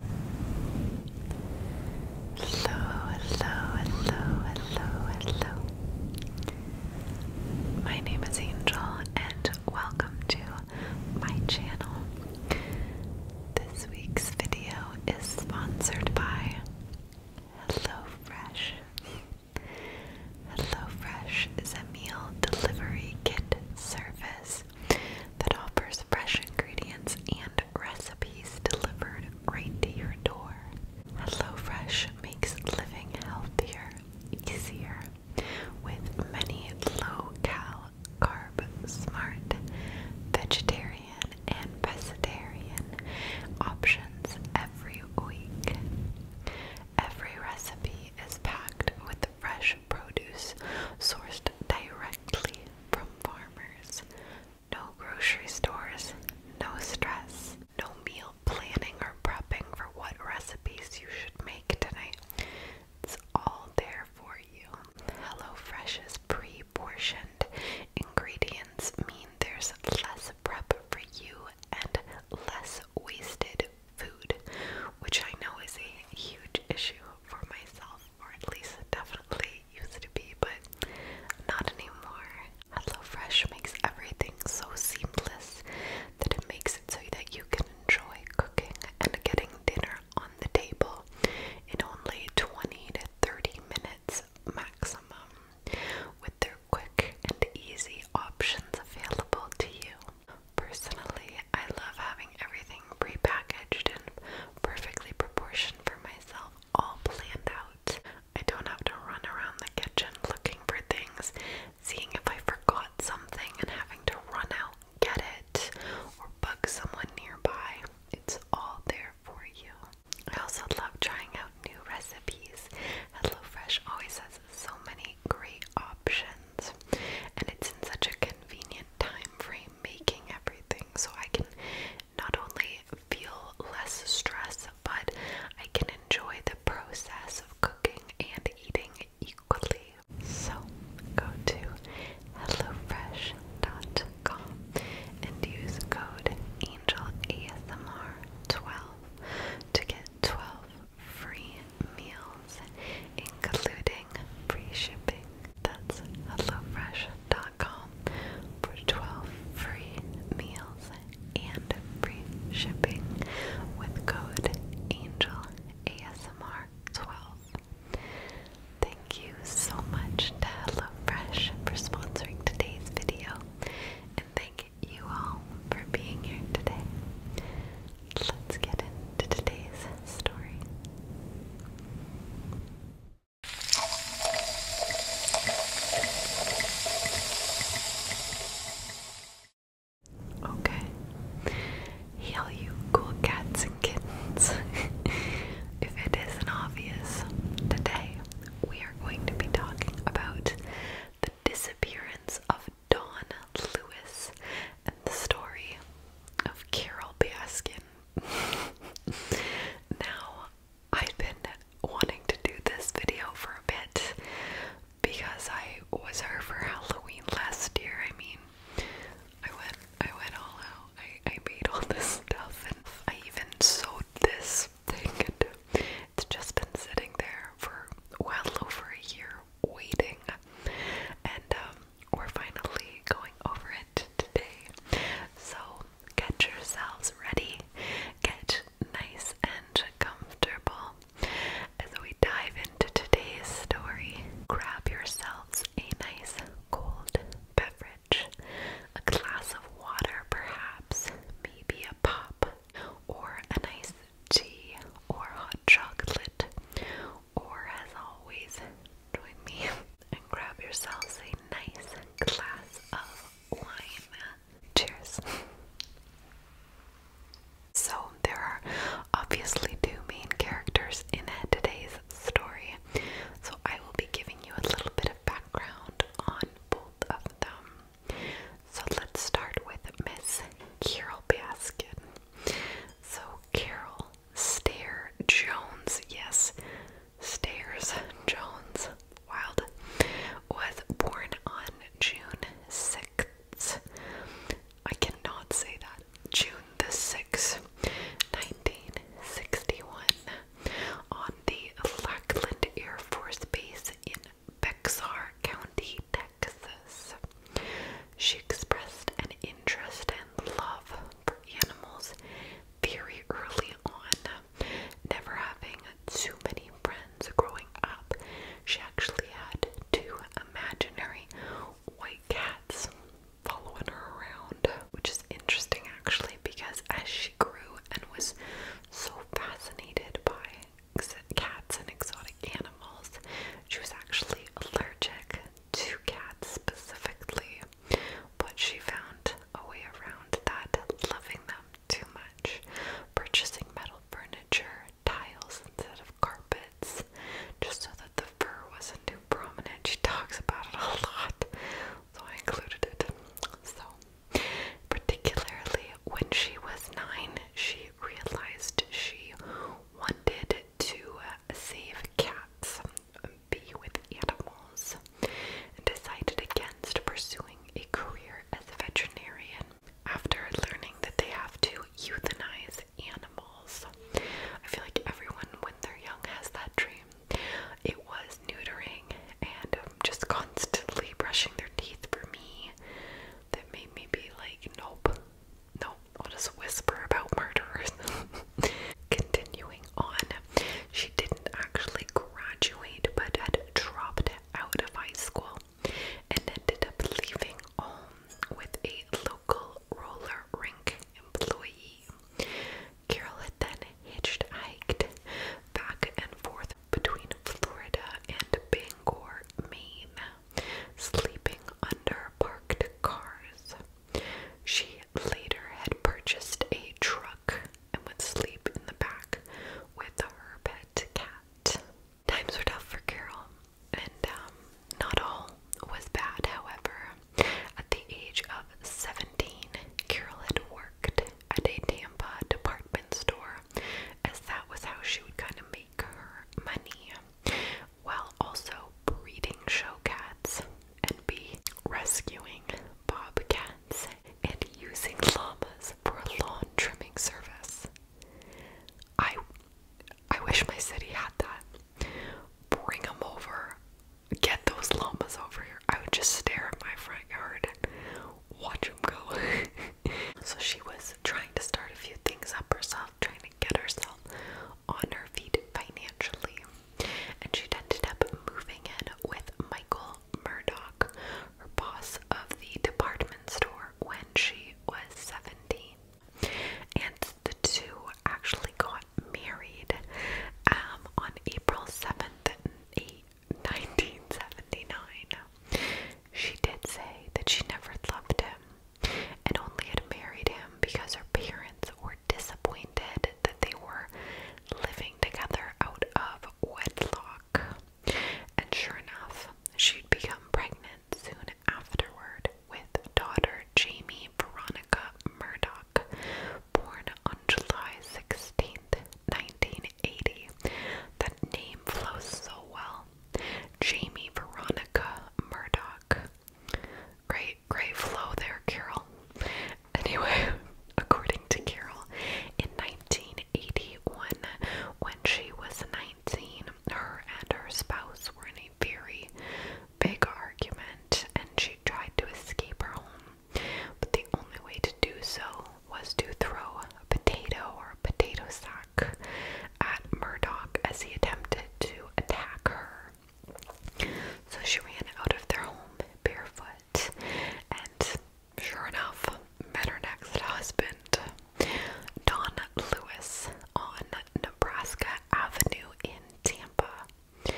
Hello, hello, hello, hello, hello. My name is Angel and welcome to my channel. This week's video is sponsored by HelloFresh. HelloFresh is a meal delivery kit service that offers fresh ingredients and recipes delivered right to your door. HelloFresh makes living healthier, easier, with many low-cal, carb-smart, vegetarian, and pescatarian options every week. Every recipe is packed with fresh produce sourced directly from farmers. No grocery stores, no stress, no meal planning or prepping for what recipes you should make tonight. It's all there for you. HelloFresh's pre portioned ingredients mean there's less prep for you and less wasted food, which I know is a huge issue for myself or at least definitely used to be, but not anymore. HelloFresh makes everything so seamless that it makes it so that you can enjoy cooking and getting dinner on the table in only 20 to 30 minutes maximum with their quick and easy options available to you. Personally, I love having everything prepackaged and perfectly proportioned for myself, all planned out. I don't have to run around the kitchen looking for things, seeing if I forgot something and having to run out and get it or bug someone nearby. It's all there for you. I also love trying out new recipes. HelloFresh always has so many great options, and it's in such a convenient time frame making everything so I can not only feel less stress, but I can enjoy the process of cooking and eating equally. So go to HelloFresh.com and use code AngelASMR12 to get 12 free meals, including free shipping. That's HelloFresh.com for 12 free meals and free shipping with code AngelASMR12. Thank you so much to HelloFresh for sponsoring today's video, and thank you all for being here today. Let's get into today's story. Okay. Heal cool cats and kittens. if it isn't obvious, today we are going to be talking about the disappearance of Dawn Lewis and the story of Carol Baskin. now, I've been wanting to do this video for a bit because I was her for Halloween last year. I mean, I went, I went all out. I, I made all this stuff, and I even sewed this thing. And it's just been sitting there for well over a year waiting, and um, we're finally going over it today. So get yourselves ready, get nice and comfortable as we dive into today's story. Grab yourselves a nice cold beverage, a glass of water perhaps, maybe a pop, or a nice tea or hot chocolate, or as always, join me and grab yourselves a nice glass of wine. Cheers. So, there are obviously two main characters in today's story, so I will be giving you a little bit of background on both of them. So, let's start with Miss Carol Baskin. So, Carol Stair Jones. Yes, Stairs Jones. Wild. Was born on June 6th. I cannot say that. June the 6th, 1961, on the Lackland Air Force Base in Bexar County, Texas. She expressed an interest and love for animals very early on, never having too many friends growing up. She actually had two imaginary white cats following her around, which is interesting actually because as she grew and was so fascinated by cats and exotic animals, she was actually allergic two cats specifically, but she found a way around that, loving them too much, purchasing metal furniture, tiles instead of carpets, just so that the fur wasn't too prominent. She talks about it a lot, so I included it. So, particularly when she was nine, she realized she wanted to uh, save cats, be with animals, decided against pursuing a career as a veterinarian. After learning that they have to euthanize animals, I feel like everyone when they're young has that dream. It was neutering and just constantly brushing their teeth for me that made me be like, nope, no, I'll just whisper about murders. Continuing on, she didn't actually graduate but had dropped out of high school and ended up leaving home with a local roller rink employee. Carol had then hitchhiked back and forth between Florida and Bangor, Maine, sleeping under parked cars. She later had purchased a truck and would sleep in the back with her pet cat. Times were tough for Carol, and um, not all was bad, however. At the age of 17, Carol had worked at a Tampa department store, as that was how she would kind of make her money while also breeding show cats and be rescuing bobcats and using llamas for a lawn trimming service. I I wish my city had that. Bring them over. Get those llamas over here. I would just stare at my front yard and watch them go. so she was trying to start a few things up herself, trying to get herself on her feet financially, and she ended up moving in with Michael Murdoch, her boss of the department store, when she was 17. And the two actually got married um, on April 7th, 1979. She did say that she never loved him, and only had married him because her parents were disappointed that they were living together out of wedlock. And sure enough, she'd become pregnant soon afterward with daughter Jamie Veronica Murdoch, born on July 16th, 1980. That name flows so well. Jamie Veronica Murdoch Great, great flow there, Carol. Anyway, according to Carol, in 1981, when she was 19, her and her spouse were in a very big argument and she tried to escape her home. But the only way to do so was to throw a potato or a potato sack at Murdock as he attempted to attack her. So she ran out of their home barefoot and, sure enough, met her next husband, Don Lewis, on Nebraska Avenue in Tampa.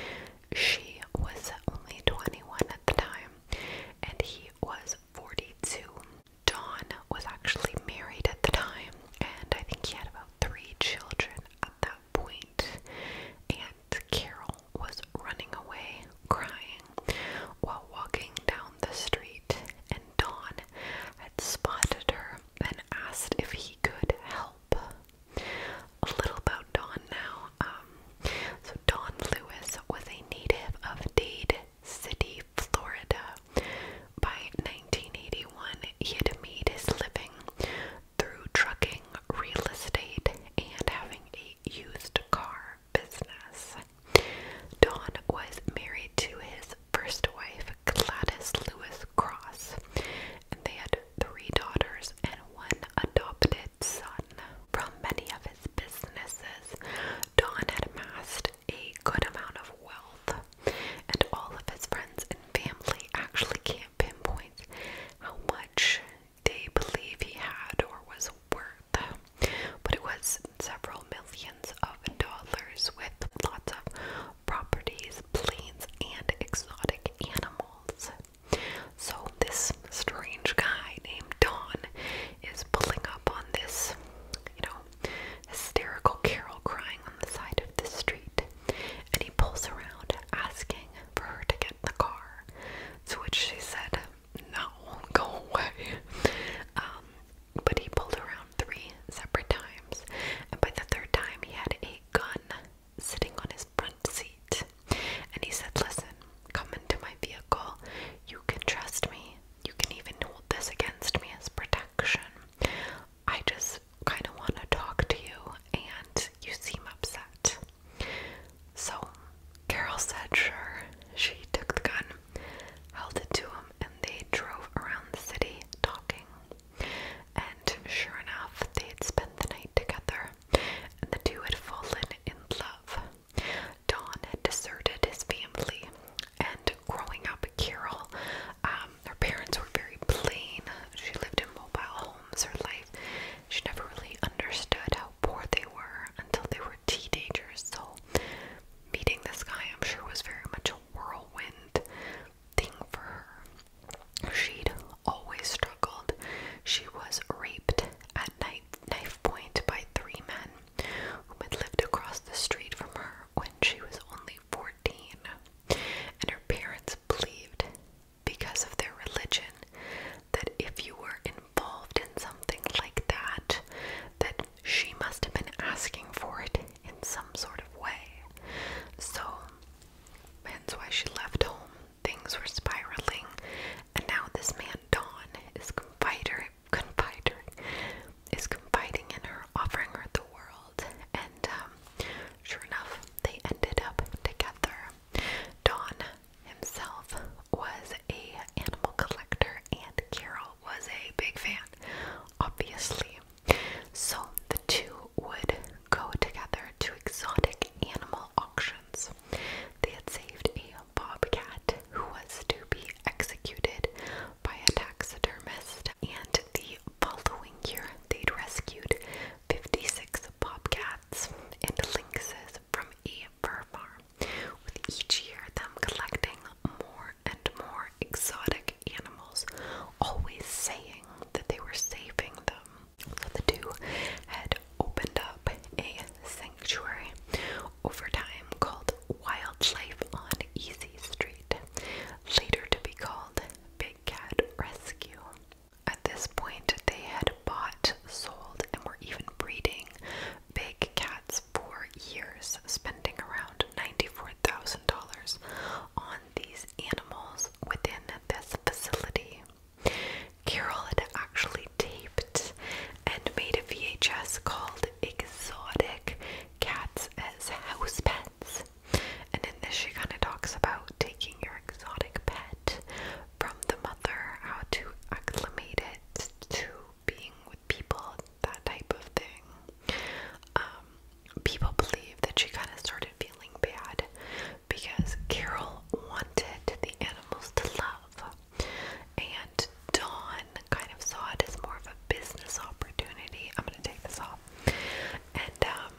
She was only 21 at the time, and he was 42. Don was actually married at the time, and I think he had about three children at that point, and Carol was running away crying while walking down the street, and Don had spotted her and asked if he could help. A little about Don now. Um, so Don Lewis was a native of Dade City, Florida. By 1981, he had made his living through trucking, real estate, and having a used car business. Don was married to his first wife, Gladys Lewis Cross, and they had three daughters and one adopted son. From many of his businesses, Don had amassed left a good amount of wealth, and all of his friends and family actually can't pinpoint how much they believe he had or was worth, but it was several millions of dollars with lots of properties, planes, and exotic animals. So, this strange guy named Don is pulling up on this, you know, hysterical Carol crying on the side of the street, and he pulls around asking for her to get in the car, to which she said, No, go away. Um, but he pulled around three separate times, and by the third time, he had a gun sitting on his front seat. And he said, Listen, come into my vehicle. You can trust me. You can even hold this against me as protection. I just kind of want to talk to you and you seem upset. So Carol said, sure. She took the gun, held it to him, and they drove around the city talking. And sure enough, they had spent the night together, and the two had fallen in love. Don had deserted his family and growing up, Carol, um, her parents were very plain. She lived in mobile homes her life. She never really understood how poor they were until they were teenagers. So, meeting this guy, I'm sure, was very much a whirlwind thing for her. She'd always struggled. She was raped at night, knife point by three men who had lived across the street from her when she was only 14 and her parents believed, because of their religion, that if you were involved in something like that, that she must have been asking for it in some sort of way. So, hence why she left home. Things were spiraling, and now this man Don is confidor confidor is confiding in her, offering her the world, and um, sure enough, they ended up together. Don himself was a animal collector, and Carol was a big fan, obviously. So the two would go together to exotic animal auctions. They had saved a bobcat who was to be executed by a taxidermist, and the following year they'd rescued 56 bobcats and lynxes from a fur farm, with each year them collecting more and more exotic animals, always saying that they were saving them. So the two had opened up a sanctuary over time called Wildlife on Easy Street, later to be called Big Cat Rescue. At this point, they had bought, sold, and were even breeding big cats for years, spending around $94,000 on these animals within this facility. Carol had actually taped and made a VHS called exotic cats as house pets. And in this, she kind of talks about taking your exotic pet from the mother, how to acclimate it to being with people, that type of thing. Um, people believe that she kind of started feeling bad because Carol wanted the animals to love, and Dawn kind of saw it as more of a a business opportunity. I'm gonna take this off. And um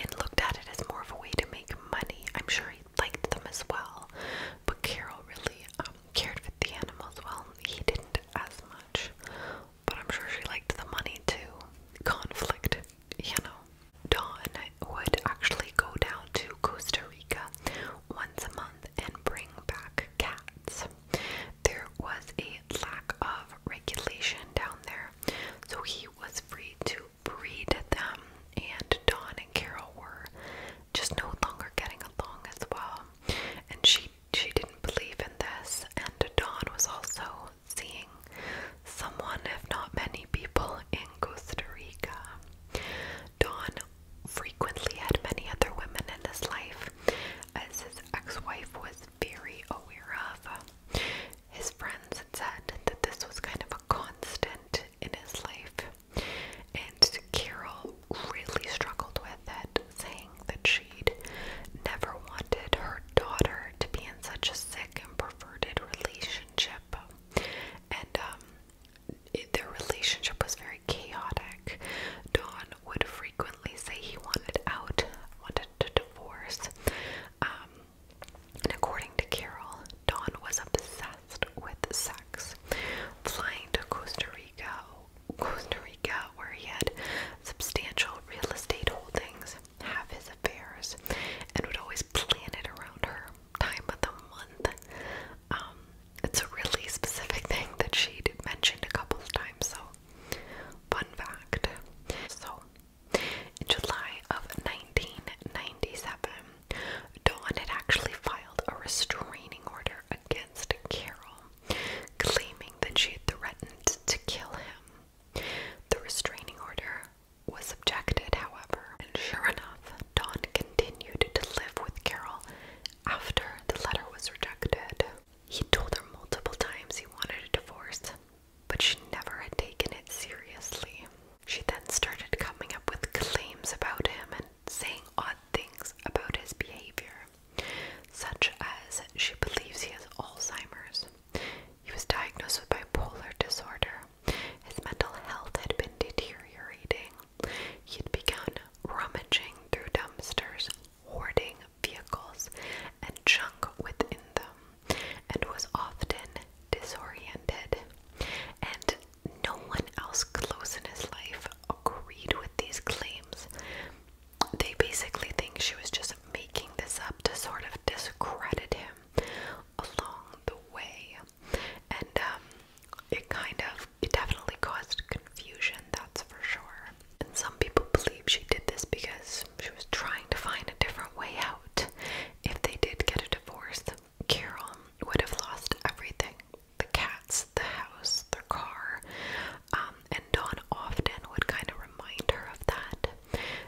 and looked at it as more of a way to make money. I'm sure he liked them as well, but Carol really um, cared for the animals. Well, he didn't as much, but I'm sure she liked the money too. Conflict, you know. Dawn would actually go down to Costa Rica once a month and bring back cats. There was a lack of regulation down there, so he was free to breed them, and Dawn and Carol were just no longer getting along as well. And she she didn't believe in this, and Dawn was also seeing someone, if not many people, in Costa Rica. Dawn frequently had many other women in his life, as his ex wife was very aware of. His friends had said that this was kind of a constant in his life, and Carol really struggled with it, saying that she'd never wanted her daughter to be in such a sick and perverted relationship. And um, their relationship was very chaotic. Don would frequently say he wanted out, wanted to divorce. Um, and according to Carol, Don was obsessed with sex. Flying to Costa Rica, Costa Rica, where he had substantial real estate holdings, half his affairs, and would always plan it around her time of the month. Um, it's a really specific thing that she mentioned a couple of times, so fun fact. So, in July of 1997, Dawn had actually filed a restraining order against Carol, claiming that she had threatened to kill him. The restraining order was objected, however, and sure enough, Dawn continued to live with Carol after the letter was rejected, he told her multiple times he wanted a divorce, but she never had taken it seriously. She then started coming up with claims about him and saying odd things about his behavior, such as she believes he has Alzheimer's. He was diagnosed with bipolar disorder. His mental health had been deteriorating, He'd begun rummaging through dumpsters, hoarding vehicles and junk within them, and was often disoriented. And no one else close in his life agreed with these claims. They basically think she was just making this up to sort of discredit him along the way. And um, it kind of it definitely caused confusion, that's for sure. And some people believe she did this because she was trying to find a different way out. If they did get a divorce, Carol would have lost everything the cats, the house, their car. Um, and Don often would kind of remind her of that,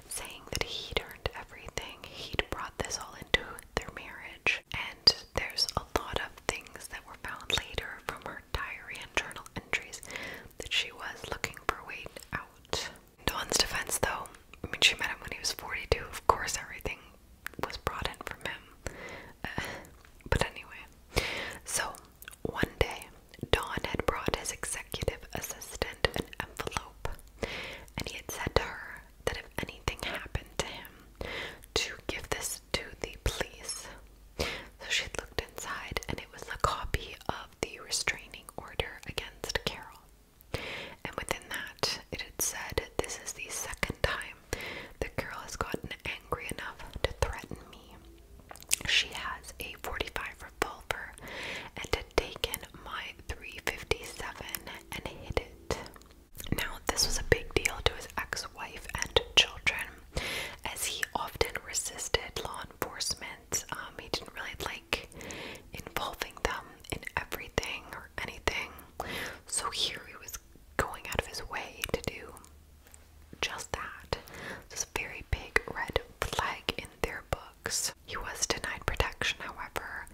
saying that he'd earned everything, he'd brought this all into their marriage and there's a lot of things that were found later from her diary and journal entries that she was looking for way out. Dawn's defense, though, I mean, she met him when he was 42. Of course, everything was brought in from him. but anyway, so one day, Dawn had brought his executive assistant an envelope, and he had said to her that if anything happened to him, to give this to the police. So she looked inside, and it was a copy of the restraining order against Carol. And within that, it had said, This is the second time the girl has gotten angry enough to threaten me. She has a 45 revolver and had taken my 357 and hid it. Now, this was a big deal to his ex wife and children, as he often resisted law enforcement. Um, he didn't really like involving them in everything or anything. So, here he was going out of his way to do just that. This very big red flag in their books. He was denied protection, however,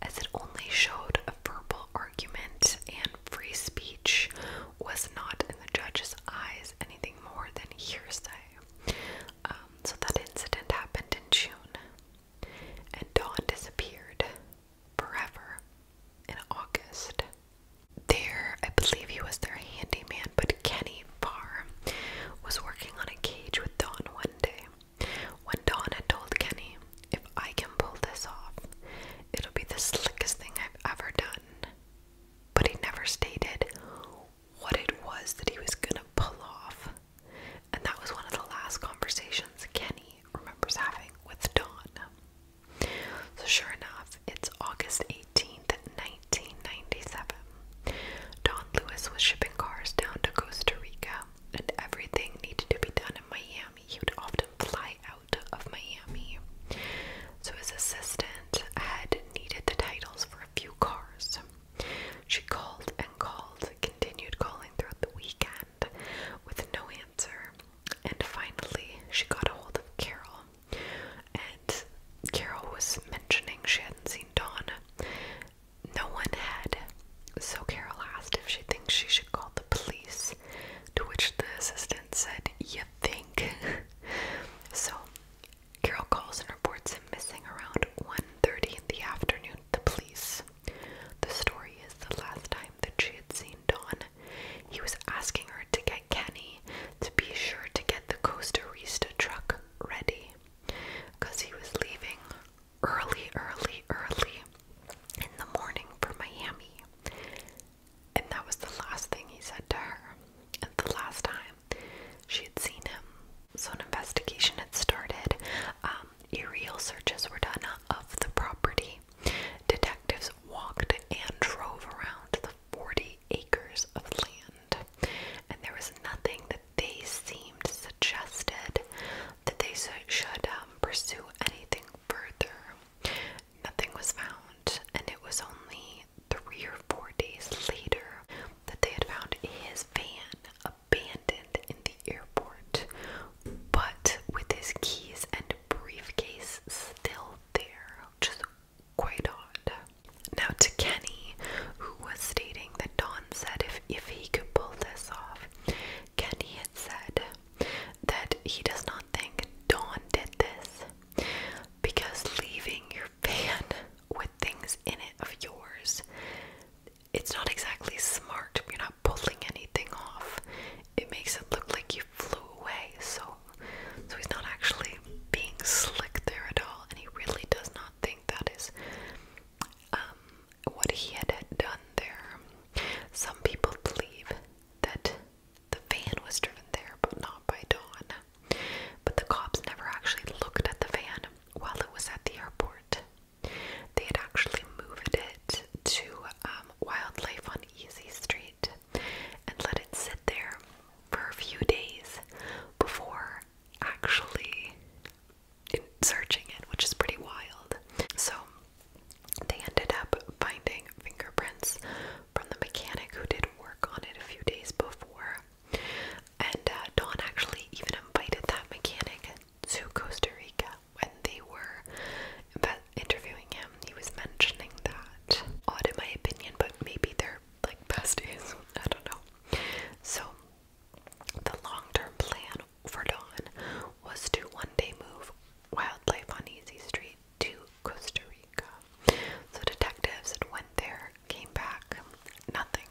as it only showed a verbal argument and free speech was not, in the judge's eyes, anything more than hearsay. Um, so that incident happened in June, and Dawn disappeared forever in August. There, I believe he was their handyman, but Kenny Farr was working on a cage with Dawn one day. When Dawn had told Kenny, if I can pull this off, It'll be the slickest thing I've ever done. But he never stated what it was that he was gonna pull off. And that was one of the last conversations Kenny remembers having with Dawn. So, sure enough, it's August 18th, 1997. Don Lewis was shipping cars down to Costa Rica, and everything needed to be done in Miami. He would often fly out of Miami. So his assistant had needed the titles for a few cars. She called and called, continued calling throughout the weekend with no answer, and finally she got a hold of Carol. And Carol was mentioning she hadn't seen Dawn. No one had. So Carol asked if she thinks she should call police. To which the assistant said, You think? so Carol calls and reports him missing around 1.30 in the afternoon to the police. The story is the last time that she had seen Dawn, he was asking her to get Kenny to be sure to get the Costa Rista truck ready. Because he was leaving early, early, early in the morning for Miami. And that was the last thing he said to her. And the last time she had seen him. So an investigation had started. Um, aerial searches were done of the property. Detectives walked and drove around the 40 acres of land. And there was nothing that they seemed suggested that they should um, pursue anything further. Nothing was found, and it was only three or four days later that they had found his van abandoned in the airport, but with his keys and briefcase still there, which is quite odd. Now, to Kenny, who was stating that Don said if, if he could pull this off, Kenny had said that he does not think Dawn did this because leaving your van with things in it of yours, it's not exactly smart. You're not pulling anything off. It makes it look like you flew away. So, so he's not actually being slick there at all, and he really does not think that is um, what he had done there. Some people believe that the van was driven there, but not by Dawn. But the cops never actually looked at the van while it was at the airport. They had actually moved it to um, Wildlife on Easy Street and let it sit there for a few days before actually searching it, which is pretty wild. So they ended up finding fingerprints from the mechanic who did work on it a few days before. And uh, Dawn actually even invited that mechanic to Costa Rica when they were interviewing him. He was mentioning that. Odd in my opinion, but maybe they're like besties. I don't know. So, the long term plan for Dawn was to one day move wildlife on Easy Street to Costa Rica. So detectives went there, came back, nothing.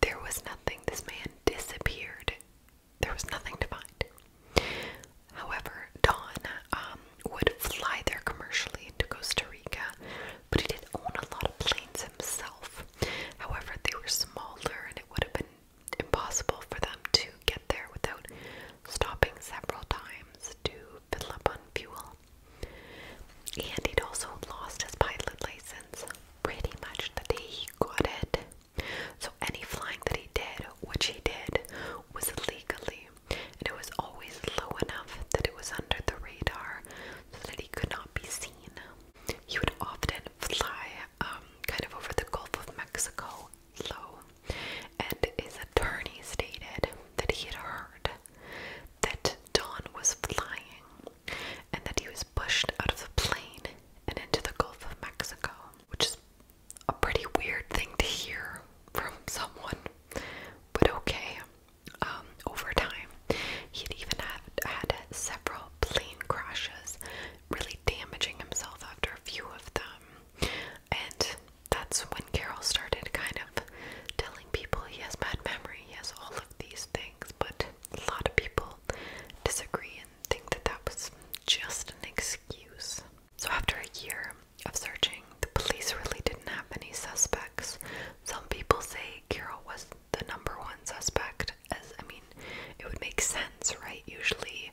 There was nothing. This man disappeared. There was nothing to find. However, Dawn um, would fly there commercially into Costa Rica, but he did own a lot of planes himself. However, they were smaller and it would have been impossible for them to get there without stopping several times to fill up on fuel. And he'd also lost his pilot license pretty much the day he got it. So any flying that he did, which he did, was illegally. And it was always low enough that it was under the radar so that he could not be seen. He would often fly um, kind of over the Gulf of Mexico low, and his attorney stated that he had heard that Don was flying and that he was pushed out of the plane and into the Gulf of Mexico, which is a pretty weird thing to hear from someone, but okay. Um, over time, he'd even had several plane crashes really damaging himself after a few of them. And that's when Carol started kind of telling people he has bad memory, he has all of these things, but a lot of people disagree and think that that was just an excuse. So, after a year of searching, the police really didn't have any suspects. Some people say Carol was the number one suspect, as I mean, it would make sense, right? Usually,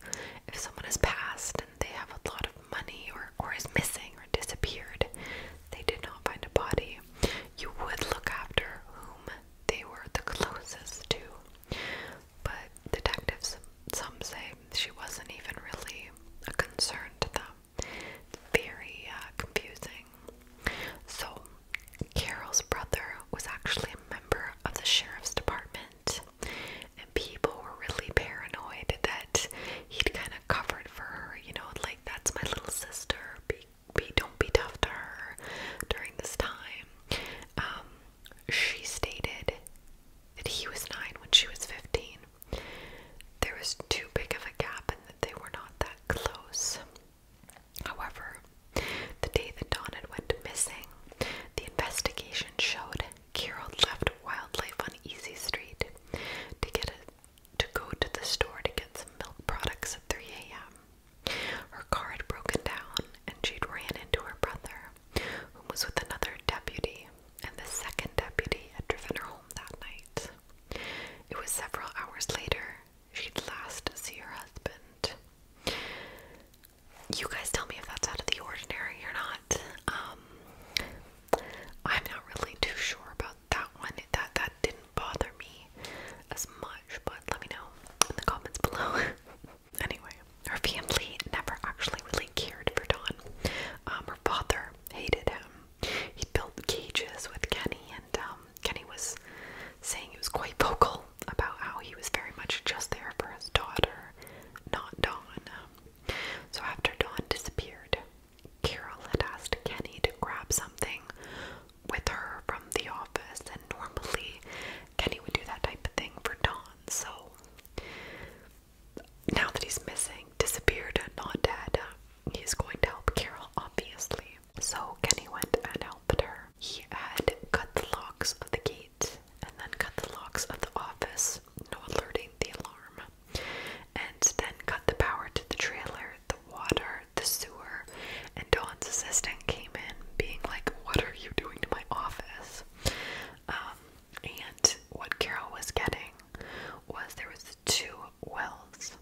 if someone has passed and they have a lot of money or, or is missing or disappeared, they did not find a body, you would look after whom they were the closest to. But detectives, some say she wasn't even really a concern to them. very uh, confusing. So, Carol's brother was actually a member of the sheriff's department and people were really paranoid that he'd kind of covered for her, you know, like that's my little sister. Be, be don't be tough to her during this time. Um, she stated that he was nine when she was fifteen. There was too big of a gap, and that they were not that close. However, the day that Donnan went missing, the investigation showed Carol left Wildlife on Easy Street to get to go to the store to get some milk products at 3 a.m. Her car had broken down, and she'd ran into her brother, who was with another deputy, and the second deputy had driven her home that night. It was several hours later she'd last see her husband you guys tell me if that's out of the ordinary or not. Um, I'm not really too sure about that one. That that didn't bother me as much, but let me know in the comments below. anyway, her family never actually really cared for Don. Um, her father hated him. He built cages with Kenny, and um, Kenny was saying he was quite vocal about how he was very much just there for his daughter, not Dawn. So after Dawn disappeared, Carol had asked Kenny to grab something with her from the office, and normally Kenny would do that type of thing for Dawn. So now that he's missing, disappeared, not dead, he's going to help Carol, obviously. So Kenny went and helped her. He had cut the locks of the gate and then cut the locks of the office, no alerting the alarm, and then cut the power to the trailer, the water, the sewer, and Dawn's assistant came in being like, What are you doing to my office? Um, and what Carol was getting was there was two wells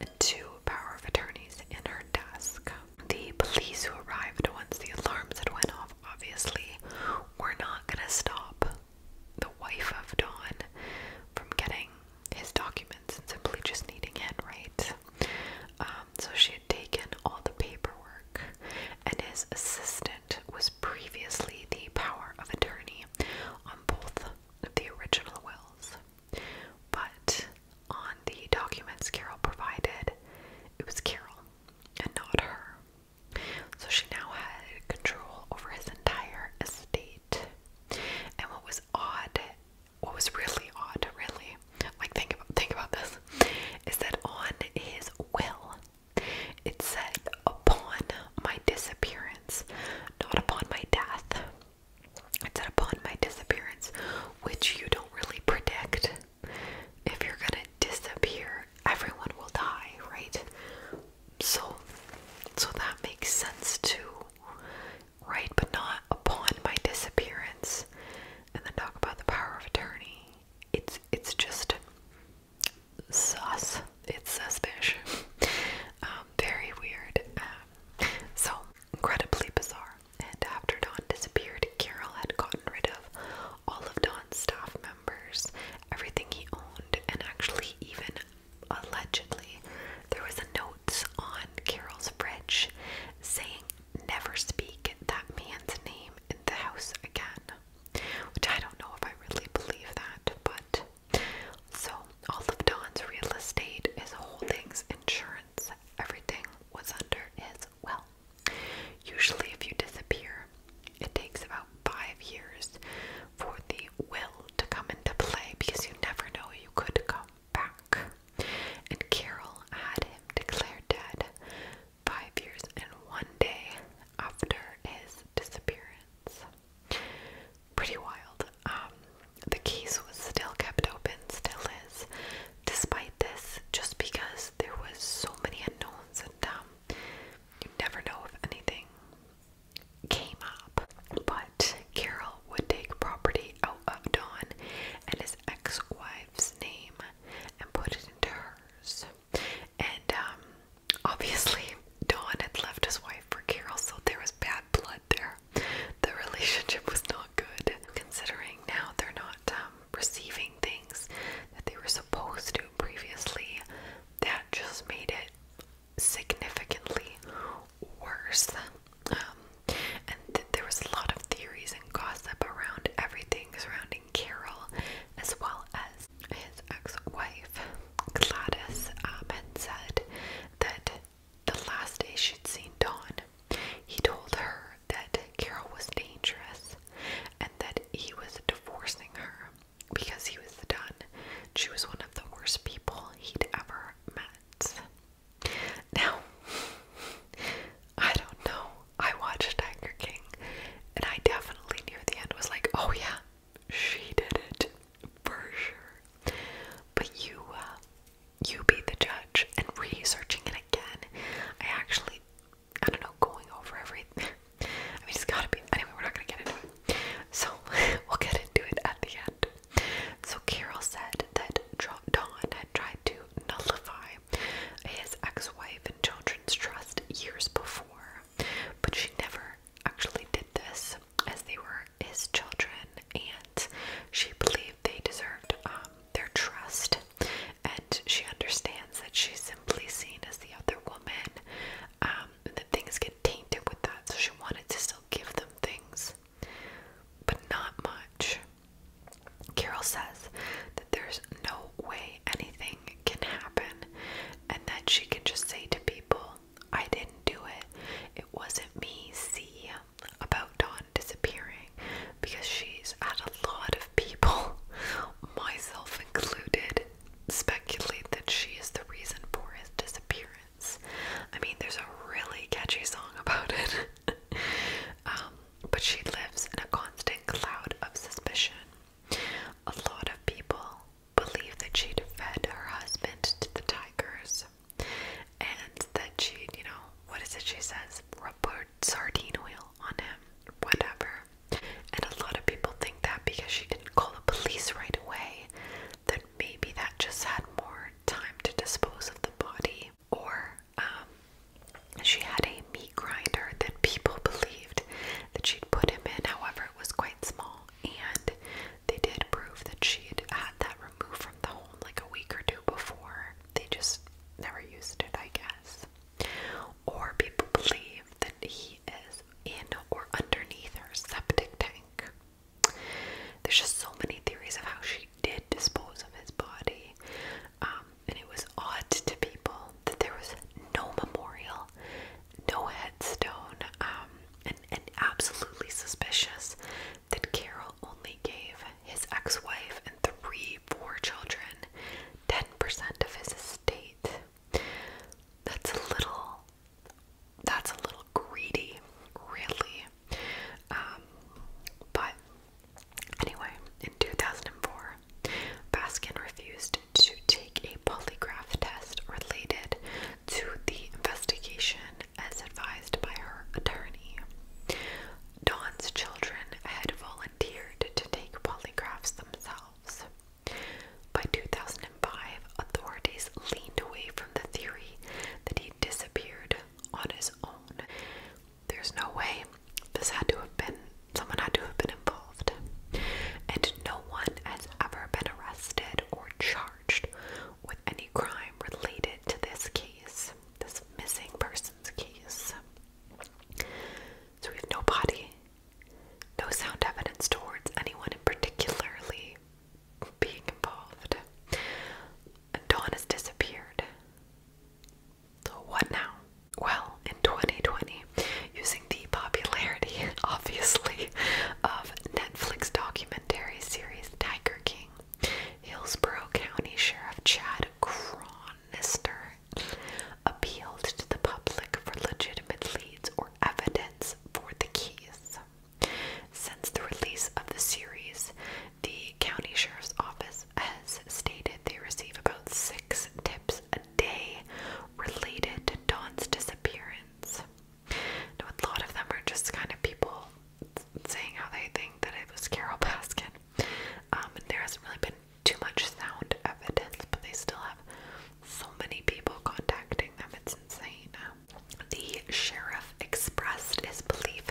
and two power of attorneys in her desk. The police who arrived once the alarms had went off, obviously, were not going to stop the wife of Don from getting his documents and simply just needing it, right? Um, so she had taken all the paperwork, and his assistant was previously the power of attorney on both of the original wills. But on the documents Carol provided, it was Carol and not her. So she now had control over his entire estate. And what was odd, what was really odd, really, like think about think about this, is that on his will it said upon my disappearance, not upon my death. It said upon my disappearance, which you don't really predict if you're gonna disappear, everyone will die, right? So, so that makes sense too, right? But not upon my disappearance. And then talk about the power of attorney. It's it's just sus. It's suspicious. Um, very weird. Um, so incredibly bizarre and after Dawn disappeared, Carol had gotten rid of all of Dawn's staff members, everything he owned, and actually, even allegedly, there was a note on Carol's fridge saying, Never speak that man's name in the house again. Which I don't know if I really believe that, but so all of Don's real estate, his holdings, insurance, everything was under his well. Usually, if you disappear, it takes about five years for the will to come into play because you never know you could come back. And Carol had him declared dead five years and one day after his disappearance. Pretty wild. Um, the case was still kept open, still is, despite this, just because there was so many unknowns and um, you never know if anything came up. But Carol would take property out of Don and his ex-wife's name and put it into hers. And um, obviously, Don had left his wife for Carol, so there was bad blood there. The relationship was not not good considering now they're not um, receiving things that they were supposed to previously. That just made it significantly worse. Um, and th there was a lot of theories and gossip around everything surrounding Carol, as well as his ex-wife Gladys um, had said that the last day she'd seen Dawn he told her that Carol was dangerous and that he was divorcing her because he was done. She was one of the worst people he'd ever met. Now, I don't know. I watched Tiger King and I definitely near the end was like, oh yeah, she did it for sure. But you, uh, you be the judge and researching it again. I actually, I don't know, going over everything. I mean, it's gotta be. Anyway, we're not gonna get into it. So, we'll get into it at the end. So, Carol said that Dawn had tried to nullify his ex wife and children's trust years before, but she never actually did this as they were his children and she believed they deserved um, their trust, and she understands that she's simply seen as the other woman, um, that things get tainted with that. So she wanted to still give them things, but not much. Carol says that there's no way anything can happen, and that she can just say to people, I didn't do it. It wasn't me. See, about Dawn disappearing because she's had a lot of people, myself included, speculate that she is the reason for his disappearance. I mean, there's a really catchy song about it. Um, but she lives in a constant cloud of suspicion. A lot of people believe that she'd fed her husband to the tigers and that she, you know, what is it she says? sardine oil on him, whatever. And a lot of people think that because she didn't call the police right away, that maybe that just had more time to dispose of the body. Or um, she had a meat grinder that people believed that she'd put him in, however, it was quite small. And they did prove that she had had that removed from the home like a week or two before. They just never used it, I guess. Or people believe that he is in or underneath her septic tank. There's just so many theories of how she did dispose of his body. Um, and it was odd to people that there was no memorial, no headstone, um, and absolutely suspicious that Carol only gave his ex wife and three four children 10% of his estate. That's a little. That's a little greedy, really. Um, but anyway, in 2004, Baskin refused to take a polygraph test related to the investigation as advised by her attorney. Don's children had volunteered to take polygraphs themselves. By 2005, authorities leaned away from the theory that he disappeared on his own. There's no way this had to have been, someone had to have been involved. And no one has ever been arrested or charged with any crime related to this case this missing person's case. So we have no body, no sound evidence towards anyone in particularly being involved. And Dawn has disappeared. So what now? Well, in 2020, using the popularity, obviously, of Netflix documentary series Tiger King, Hillsborough County Sheriff Chad Cronister appealed to the public for legitimate leads or evidence for the case. Since the release of the series, the county sheriff's office has stated they receive about six tips a day related to Dawn's disappearance. Now, a lot of them are just kind of people saying how they think that it was Carol Baskin. Um, and there hasn't really been too much sound evidence, but they still have so many people contacting them. It's insane. The sheriff expressed his belief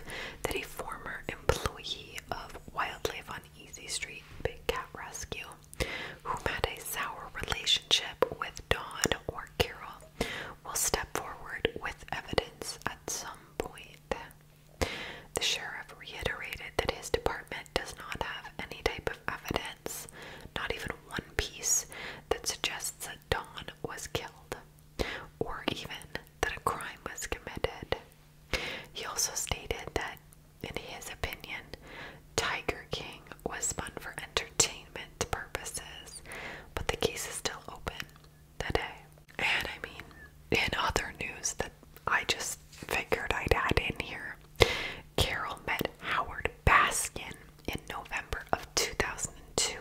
that a former employee of Wildlife on Easy Street Big Cat Rescue, who had a sour relationship with Dawn or Carol, will step forward with evidence at some point. The sheriff reiterated that his department does not have any type of evidence, not even one piece, that suggests that Dawn was killed, or even that a crime was committed. He also stated that, in his opinion, Tiger King was spun for entertainment purposes, but the case is still open the day. And I mean, in other news that I just figured I'd add in here, Carol met Howard Baskin in November of 2002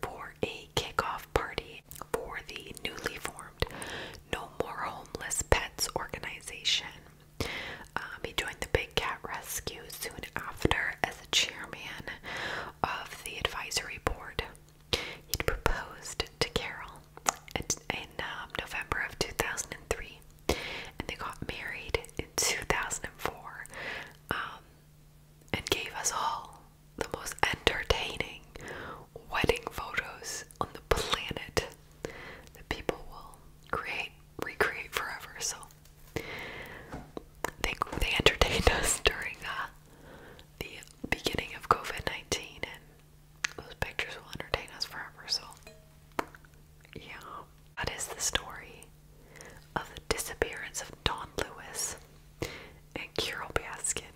for a kickoff party for the newly formed No More Homeless Pets organization. Um, he joined the Big Cat Rescue soon after as a chairman of the advisory board he proposed to Carol in, um, November of 2003, and they got married in 2004, um, and gave us all the most entertaining wedding photos on the planet that people will create, recreate forever. So they they entertained us during uh, the beginning of COVID 19, and those pictures will entertain us forever. So, yeah. That is the story of the disappearance of Don Lewis and Carol Baskin,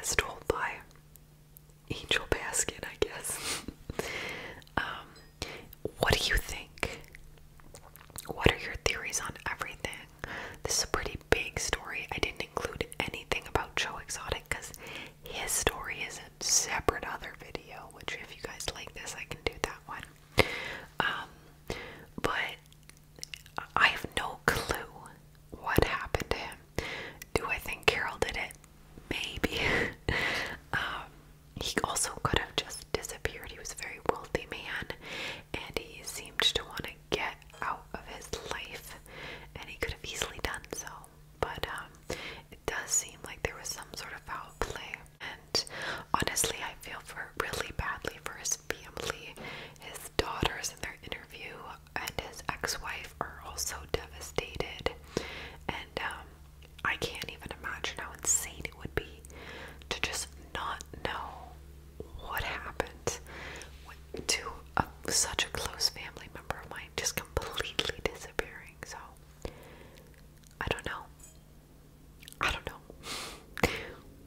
as told by Angel Baskin, I guess. um, what do you think? What are your theories on everything? This is a pretty big story. I didn't include anything about Joe Exotic because his story is a separate other video, which if you guys like this, I can do that one. Um, but I have no clue what happened to him. Do I think Carol did it? Maybe. um, he also could have just disappeared. He was a very wealthy man and he seemed to want to get out of his life, and he could have easily done so. But um, it does seem like there was some sort of foul play, and honestly, I feel for really badly for his family. His daughters in their interview and his ex-wife are also devastated, and um, I can't even imagine how insane it would be to just not know what happened to such a close family member of mine just completely disappearing. So, I don't know. I don't know.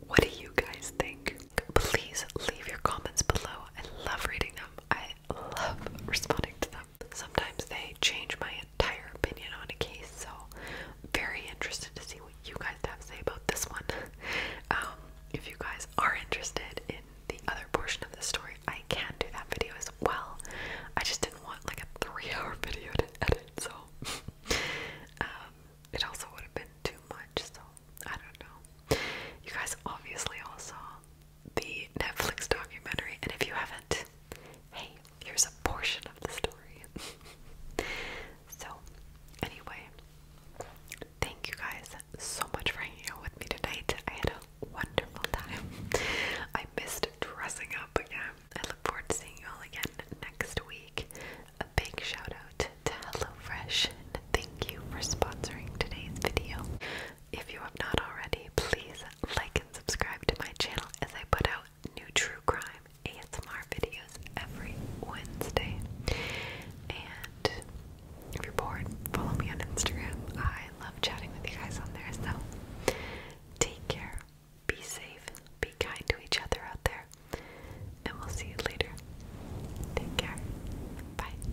What do you guys think? Please leave your comments below. I love reading them, I love responding to them. Sometimes they change my entire opinion on a case, so very interested to see what you guys have to say about this one. Um, if you guys are interested in the other portion of the story, I can do that video as well. I just didn't want like a three-hour video to edit, so um, it also would have been too much. So I don't know. You guys obviously all saw the Netflix documentary, and if you haven't, hey, here's a portion of the story. So, anyway, thank you guys so much for hanging out with me tonight. I had a wonderful time. I missed dressing up again. I look forward to seeing you all again next week. A big shout out to HelloFresh and thank you for sponsoring today's video. If you have not already, please like and subscribe to my channel as I put out new true crime ASMR videos every Wednesday. And if you're bored, follow me on Instagram. I love chatting with you guys on there. So take care, be safe, be kind to each other out there, and we'll see you later. Take care. Bye.